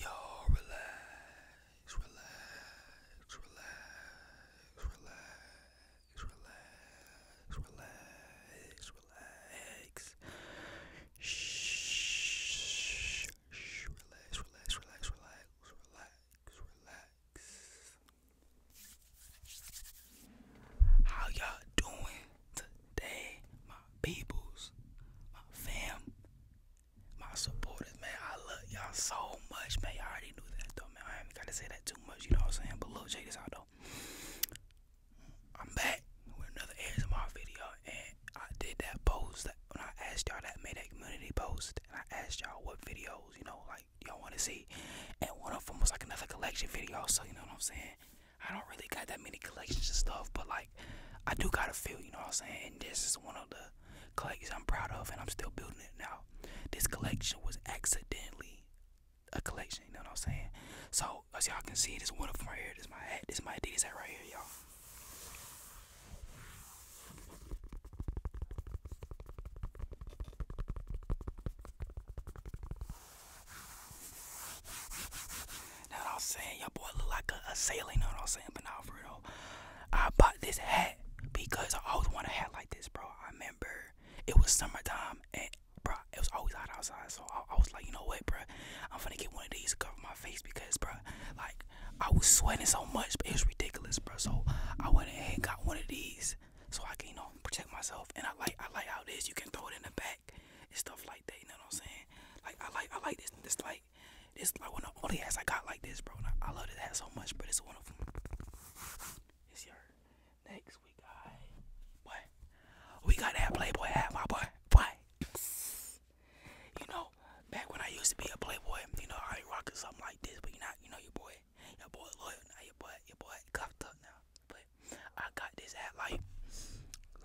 Y'all relax, relax, relax, relax, relax, relax, relax. Shh, shh, relax, relax, relax, relax, relax, relax. How y'all doing today, my peoples, my fam? my supporters, man. I love y'all so much, man. I already knew that though, man. I ain't gotta say that too much, you know what I'm saying? But look, check this out though. I'm back with another ASMR video, and I did that post when I asked y'all that made that community post, and I asked y'all what videos, you know, like y'all want to see, and one of them was like another collection video. So you know what I'm saying? I don't really got that many collections and stuff, but like like I do gotta feel, you know what I'm saying? And this is one of the collections I'm proud of and I'm still building it now. This collection was accidentally a collection, you know what I'm saying? So as y'all can see, this one of them right here, this is my hat, this is my Adidas hat right here, y'all what I'm saying? Your boy look like a, sailor, what I'm saying? But now for real, I bought this hat because I always wanted a hat like this, bro. I remember it was summertime and bro, it was always hot outside. So I, was like, you know what, bro? I'm gonna get one of these to cover my face because, bro, like I was sweating so much, but it was ridiculous, bro. So I went ahead and got one of these so I can, you know, protect myself. And I like, I like how this. You can throw it in the back, it's stuff like that. You know what I'm saying? Like I like I like this this like this like one of the only hats I got like this, bro. I, I love this hat so much, but it's one of them. It's your next week, I boy. We got that Playboy hat, my boy. Boy, you know, back when I used to be a Playboy, you know, I rocking something like this, but you not, you know, your boy, your boy loyal now, your boy, your boy cuffed up now. But I got this hat like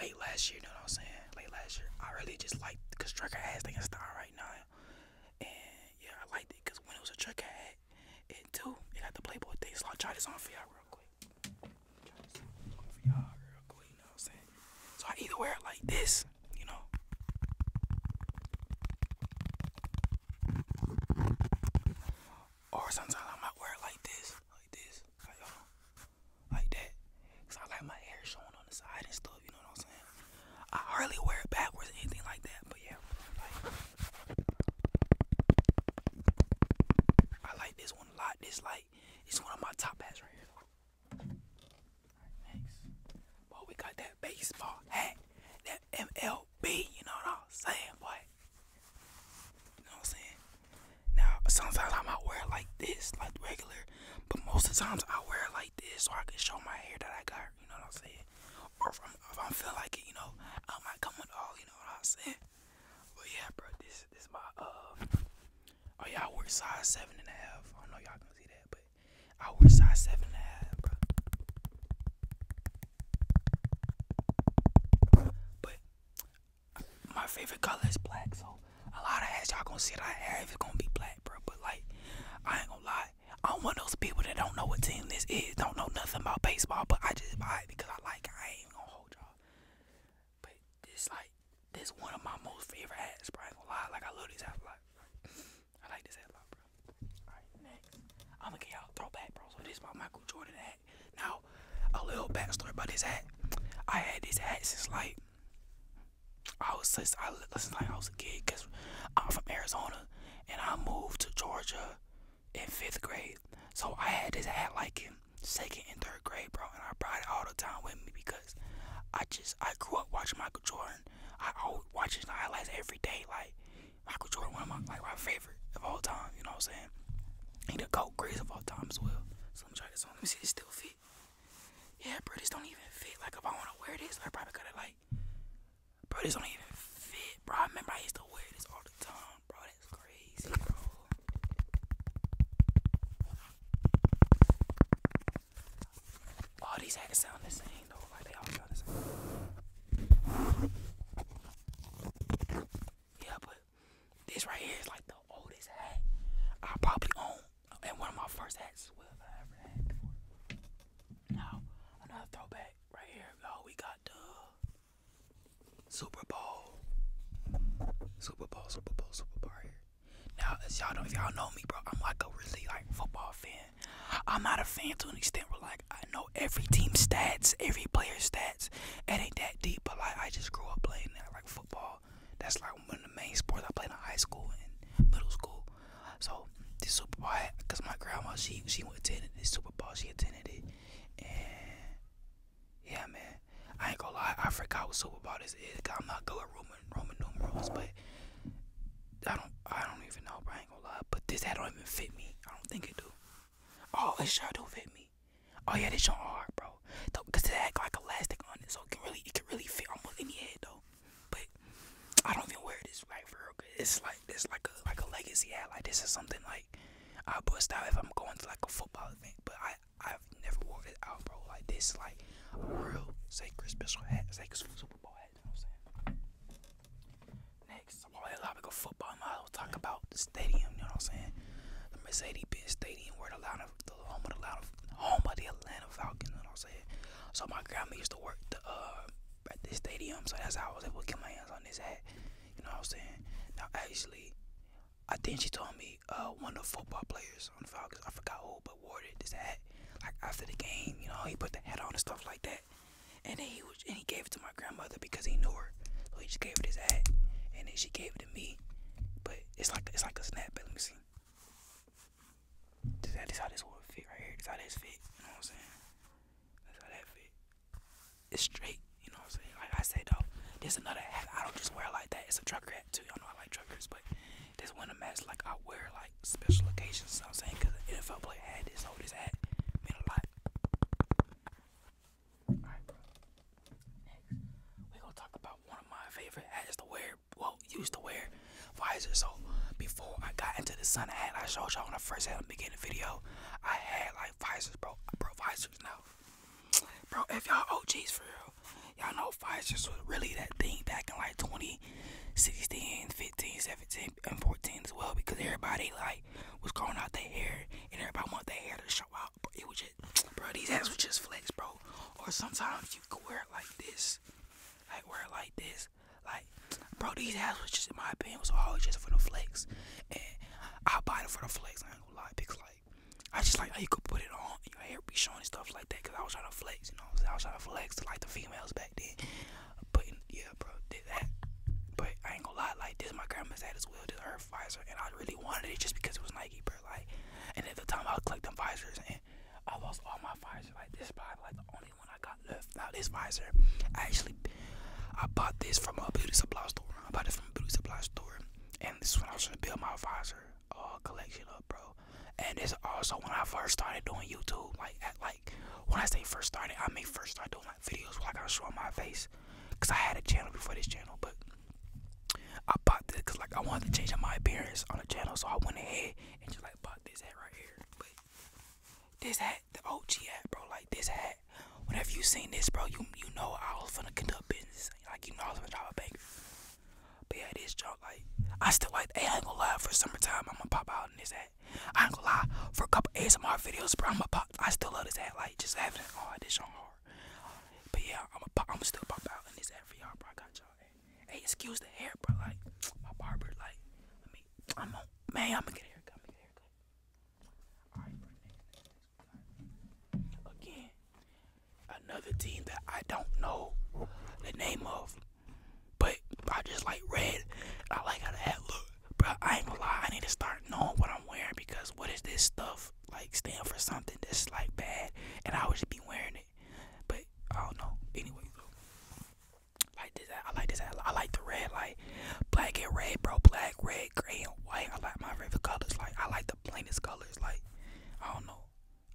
late last year, you know what I'm saying? Late last year, I really just liked because Trucker has they can style right now, and yeah, I liked it because when it was a Trucker hat, it too, it got the Playboy thing. So i try this on for y'all real quick. for y'all real quick, you know what I'm saying? So I either wear it like this, you know. Or sometimes I might wear it like this, like this, like, uh, like that. Cause I like my hair showing on the side and stuff. You know what I'm saying? I hardly wear it backwards or anything like that. But yeah, I like this one a lot. This light, it's one of my top hats right here. Right, boy, we got that baseball hat, that MLB. You know what I'm saying, boy? You know what I'm saying? Now sometimes I might wear it like this, like regular, but most of the times I wear it like this so I can show my hair that I got. You know what I'm saying? Or if I'm, like it, you know, I might come with all. You know what I'm saying? But yeah, bro, this is my uh. Oh yeah, I wear size seven and a half. I don't know y'all can see that, but I wear size seven and a half, bro. But my favorite color is black, so a lot of hats y'all gonna see that I have is gonna be black, bro. But like, I ain't gonna lie, I'm one of those people that don't know what team this is, don't know nothing about baseball, but I just buy it because I like it. I ain't gonna hold y'all. But this like, this one of my most favorite hats, bro. I ain't gonna lie, like I love this hat a lot. I like this hat a lot, bro. Alright, next, I'm gonna get y'all throwback, bro. So this is my Michael Jordan hat. Now, a little backstory about this hat. I had this hat since like I was since I since like I was a kid because I'm from Arizona and I moved to Georgia in fifth grade. So I had this hat like in second and third grade, bro, and I brought it all the time with me because I just I grew up watching Michael Jordan. I always watch his highlights every day. Like Michael Jordan, one of my like my favorite of all time. You know what I'm saying? He the goat greatest of all time as well. So I'm this on. Let me see, it still fit. Yeah, bro, this don't even fit. Like, if I want to wear this, I probably could have, like, bro, this don't even fit, bro. I remember I used to wear this all the time, bro. That's crazy, bro. All these hats sound the same, though. Like, they all sound the same. Yeah, but this right here is like the oldest hat I probably own, and one of my first hats well ever had before. Now another throwback right here, you We got the Super Bowl, Super Bowl, Super Bowl, Super Bowl right Now, y'all know, if y'all know me, bro, I'm like a really like football fan. I'm not a fan to an extent where like I know every team stats, every player stats sports. It ain't that deep, but like I just grew up playing that, like football. That's like one of the main sports I played in high school and middle school. So this Super Bowl, because my grandma she she attended this Super Bowl, she attended it, and yeah, man, I ain't gonna lie, I forgot what Super Bowl this is. Cause I'm not good at Roman Roman numerals, but I don't I don't even know, bro. I ain't gonna lie, but this hat don't even fit me. I don't think it do. Oh, it sure do fit me. Oh yeah, this joint hard, bro. cause they act like elastic on it, so it can really, it can really fit almost any head though. But I don't even wear this like real. it's like, it's like a, like a legacy hat. Like this is something like I bust out if I'm going to like a football event. But I, I've never wore it out, bro. Like this, like a real sacred special hat, sacred Super Bowl hat. You know what I'm saying? Next, I'm on the topic of football model. Talk about the stadium. You know what I'm saying? The Mercedes-Benz Stadium, where the Atlanta, the home of the Atlanta, home of the Atlanta Falcons. You know what I'm saying? So my grandma used to work the, uh, at this stadium, so that's how I was able to get my hands on this hat. You know what I'm saying? Now actually, I think she told me uh, one of the football players on the Falcons, I forgot who, but wore this hat. Like after the game, you know, he put the hat on and stuff like that. And then he was, and he gave it to my grandmother because he knew her. So he just gave it his ad, and then she gave it to me. But it's like it's like a snap. Let me see. This, this how this will fit right here. This how this fit. You know what I'm saying? That's how that fit. It's straight. You know what I'm saying? Like I said though, this another hat. I don't just wear like that. It's a trucker hat too. Y'all know I like truckers, but this a mask like I wear like special occasions. You know what I'm saying? Cause the NFL player had this, so this hat meant a lot. Alright, bro. Next, we're gonna talk about one of my favorite hats to wear. Well, used to wear visor. So before I got into the sun hat, I showed y'all when I first had the beginning video. I had like visors, bro. I Bro, visors now. Bro, if y'all OGs for real, y'all know visors was really that thing back in like 20, 16, 15, 17, and 14 as well because everybody like was growing out their hair and everybody wanted their hair to extra it was just, bro, these ass was just flex, bro. Or sometimes you could wear it like this, like wear it like this, like, bro, these ass was just, in my opinion, was all just for the flex, and I bought it for the flex. I ain't gonna lie, because like, I just like how you could put it on, your hair be showing stuff like that, cause I was trying to flex, you know, I was trying to flex to like the females back then. But yeah, bro, did that. But I ain't gonna lie, like this, my grandma's hat as well, this her pair and I really wanted it just because it was Nike, bro. Like, and at the time I was collecting Pfizers, and I lost all my visors. Like, this is like the only one I got left. Now this visor, I actually, I bought this from a beauty supply store. I bought it from a beauty supply store, and this is when I was trying to build my visor uh, collection up, bro. And it's also when I first started doing YouTube. Like, at, like when I say first started, I mean first started doing videos where like I was showing my face, cause I had a channel before this channel, but I bought this cause like I wanted to change up my appearance on the channel, so I went ahead and just like bought this hat right here. But this hat, the OG hat, bro, like this hat. Whenever you seen this, bro, you you know I was finna conduct business, like you know I was finna drive a bank. But yeah, this joke, like I still like. Hey, ain't gonna lie. For summertime, I'ma pop out in this hat. I ain't gonna lie. For a couple ASMR videos, bro, I'ma pop I still love this hat, like just having all this on hard. But yeah, I'm a pop, I'm still pop out in this ad for y'all, bro. I got y'all. Hey, excuse the hair, bro. Like my barber, like I mean, I'm on, man. I'm gonna get a haircut. get a haircut. Again, another team that I don't know the name of, but I just like red. I like how the hat look bro, I ain't gonna lie. I need to start knowing what I'm wearing because what is this stuff like stand for something that's like bad, and I always be wearing it. But I don't know. Anyway, like this, I like this. I like the red, like black and red, bro. Black, red, gray, and white. I like my favorite colors. Like I like the plainest colors. Like I don't know.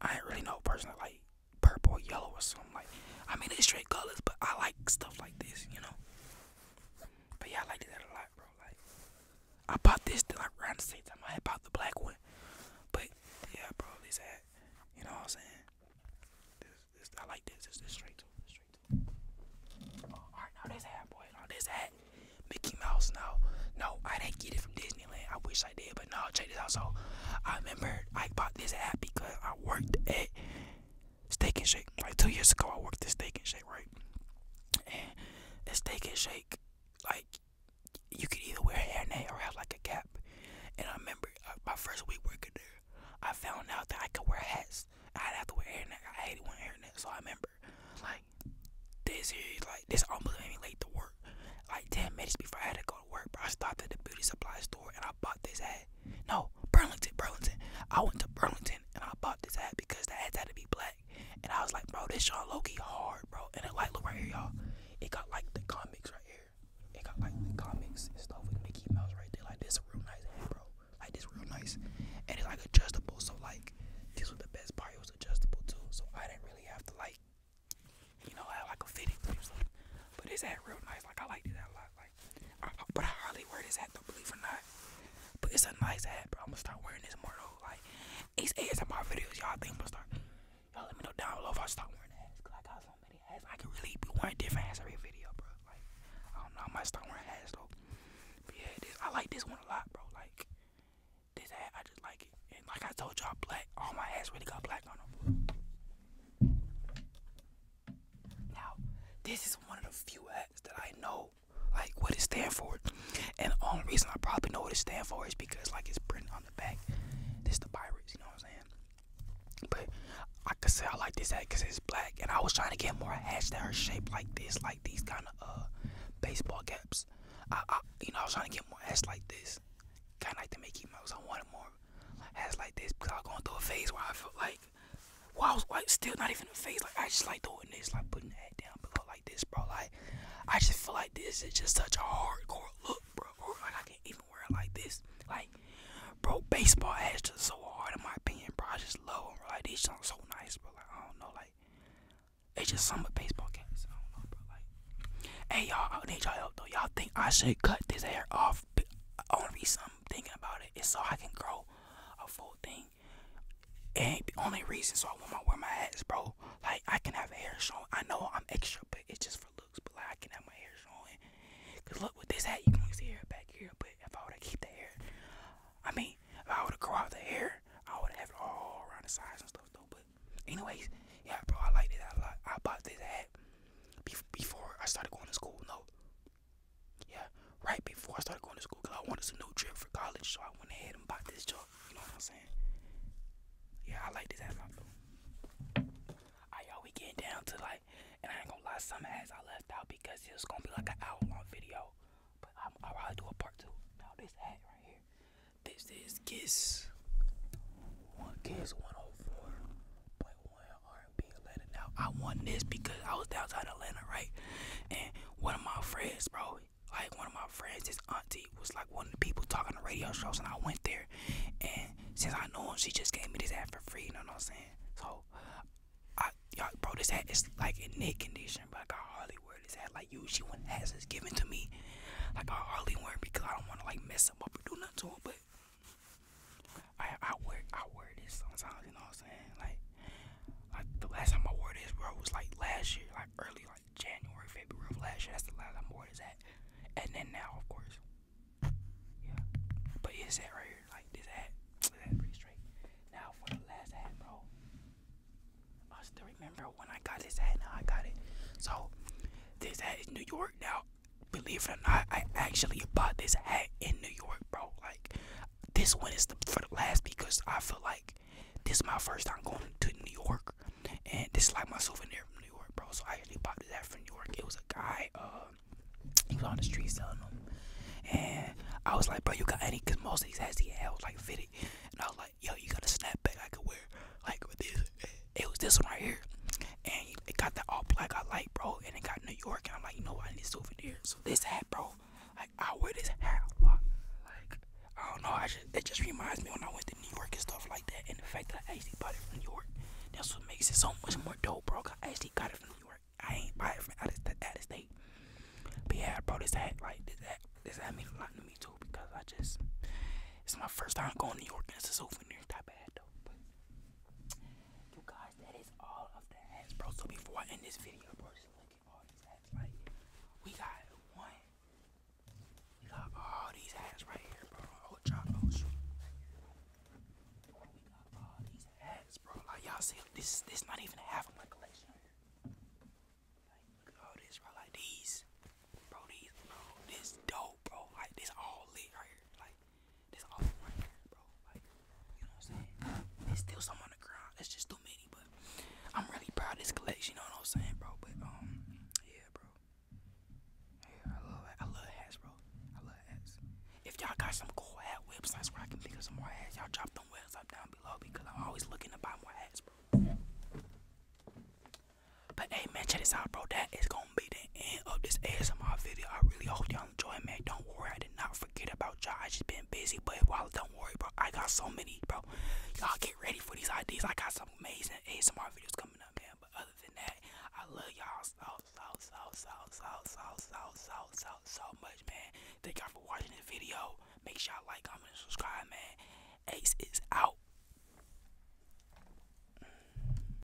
I ain't really know personally like purple, yellow, or something like. I mean, it's straight colors, but I like stuff like this, you know. But yeah, I liked that a lot, bro. Like, I bought this like around the same time I bought the black one. But yeah, bro, this had, you know what I'm saying? This, this, I like this. This, this straight too. straight too. Oh, all right, now this hat, boy. Now this hat, Mickey Mouse. no, no, I didn't get it from Disneyland. I wish I did, but no. Check this out. So, I remember I bought this hat because I worked at Steak and Shake. Like two years ago, I worked at Steak and Shake, right? And at Steak and Shake, like you could either wear a hairnet or have like a cap. And I remember uh, my first week working there, I found out that I could wear hats. I'd have to wear hairnet. I hated wearing hairnet, so I remember like this is like this almost late to work. Like ten minutes before I had to go to work, bro. I stopped at the beauty supply store and I bought this hat. No, Burlington, Burlington. I went to Burlington Sexton, and I bought this hat because the hat had to be black. And I was like, bro, this y'all Loki hard, bro. And it like look right here, y'all. It got like the comics right here. It got like the comics and stuff with Mickey Mouse right there. Like this a real nice hat, bro. Like this real nice. And it's like adjustable. So like this was the best part. It was adjustable too. So I didn't really have to like you know have like a fitting thing. But this hat real nice. Like I like this hat a lot. Like, but I hardly wear this hat though, believe it or not. But it's a nice hat, bro. I'm gonna start wearing this more though. Like, these ads in my videos, y'all think I'm gonna start. Y'all let me know down below if I start wearing hats. I got so many hats. I can really be wearing different hats every video, bro. Like, I don't know. I might start wearing hats though. But yeah, this, I like this one a lot, bro. Like, this hat, I just like it. And like I told y'all, black. All my hats really got black on them. Now, this is one of the few hats that I know, like what it stands for. And the only reason I probably know what it stands for is because, like, it's printed on the back. This the pirates, you know what I'm saying? But I could say I like this hat because it's black, and I was trying to get more hats that are shaped like this, like these kind of uh baseball caps. I, I, you know, I was trying to get more hats like this, kind of like the Mickey Mouse. I wanted more hats like this because I was going through a phase where I felt like Wow, well, like still not even a face. Like I just like doing this, like putting that down below like this, bro. Like I just feel like this is just such a hardcore look, bro. Or like I can't even wear it like this. Like, bro, baseball hats just so hard in my opinion, bro. I just love bro. Like these Sounds so nice, bro. Like I don't know, like it's just some baseball caps. I don't know, bro. Like, hey y'all, I need y'all help though. Y'all think I should cut this hair off? I Only reason I'm thinking about it is so I can grow a full thing. And the only reason so I want to wear my hats, bro. Like I can have hair showing. I know I'm extra, but it's just for looks. But I can have my hair showing. Cause look with this hat, you can see hair back here. But if I were to keep the hair, I mean, if I were to grow out the hair, I would have it all around the sides and stuff though. But anyways, yeah, bro, I like this a lot. I bought this hat before I started going to school. No, yeah, right before I started going to school, cause I wanted some new trip for college, so I went ahead and bought this joke. You know what I'm saying? Yeah, I like this hat lot though. Alright, y'all, we getting down to like, and I ain't gonna lie, some hats I left out because it was gonna be like an hour long video, but I'm, I'll probably do a part two. Now this hat right here, this is Kiss, one Kiss One Hundred oh Four. R&B Atlanta. Now I want this because I was downtown Atlanta, right? And one of my friends, bro, like one of my friends, his auntie was like one of the people talking to radio shows, and I went there. And since I know him, she just gave me this hat for free. You know what I'm saying? So, I y'all, bro, this hat is like in knit condition, but like, I hardly wear this hat. Like usually when hats is given to me, like I hardly wear it because I don't want to like mess up or do nothing to them, but. I I wear I wear this sometimes, you know what I'm saying? Like, like the last time I wore this, bro, was like last year, like early like January, February of last year. That's the last I wore this at, and then now, of course, yeah. But it's that right here, like this hat, this hat pretty straight. Now for the last hat, bro. I still remember when I got this hat. Now I got it. So this hat is New York now believe it or not, I actually bought this hat in New York, bro. Like, this one is the, for the last because I feel like this is my first time going to New York, and this is like my souvenir from New York, bro. So I actually bought this hat from New York. It was a guy, uh, he was on the street selling them, and I was like, bro, you got any? Because most of these hats he had was like fitted, and I was like, yo, you got a snapback I could wear, like with this. It was this one right here and it got the all black I like, bro. And it got New York, and I'm like, you know, what? I need souvenirs. So this hat, bro, like I wear this hat a lot. Like I don't know, I just it just reminds me when I went to New York and stuff like that. And the fact that I actually bought it from New York, that's what makes it so much more dope, bro. Cause I actually got it from New York. I ain't buy it from out of, out of state. But yeah, bro, this hat, like this hat, this hat means a lot to me too because I just it's my first time going to New York and it's a souvenir type of hat though. But you guys, that is all of the hats, bro. So before I end this video, bro, just look at all these hats right here. We got one. We got all these hats right here, bro. Oh, John, oh, shoot. We got all these hats, bro. Like, y'all see, this this not even half of my collection. Like, all this, bro. Like, these. Bro, these, bro. This dope, bro. Like, this all lit right here. Like, that's There's still some on the ground. That's just too many, but I'm really proud of this collection, you know what I'm saying, bro? But um yeah, bro. Yeah, I love I love hats, bro. I love hats. If y'all got some cool hat websites where I can pick up some more hats, y'all drop them webs down below because I'm always looking to buy more hats, bro. But hey man, check this out, bro. That is gonna be the end of this ASMR video. I really hope y'all enjoy, man. Don't worry, I did not forget about y'all. I just been busy, but while don't worry, bro. I got so many, bro. Y'all get ready for these ideas. I got some amazing ASMR videos coming up, man. But other than that, I love y'all so so so so so so so so so so much, man. Thank y'all for watching this video. Make sure y'all like, comment, and subscribe, man. Ace is out.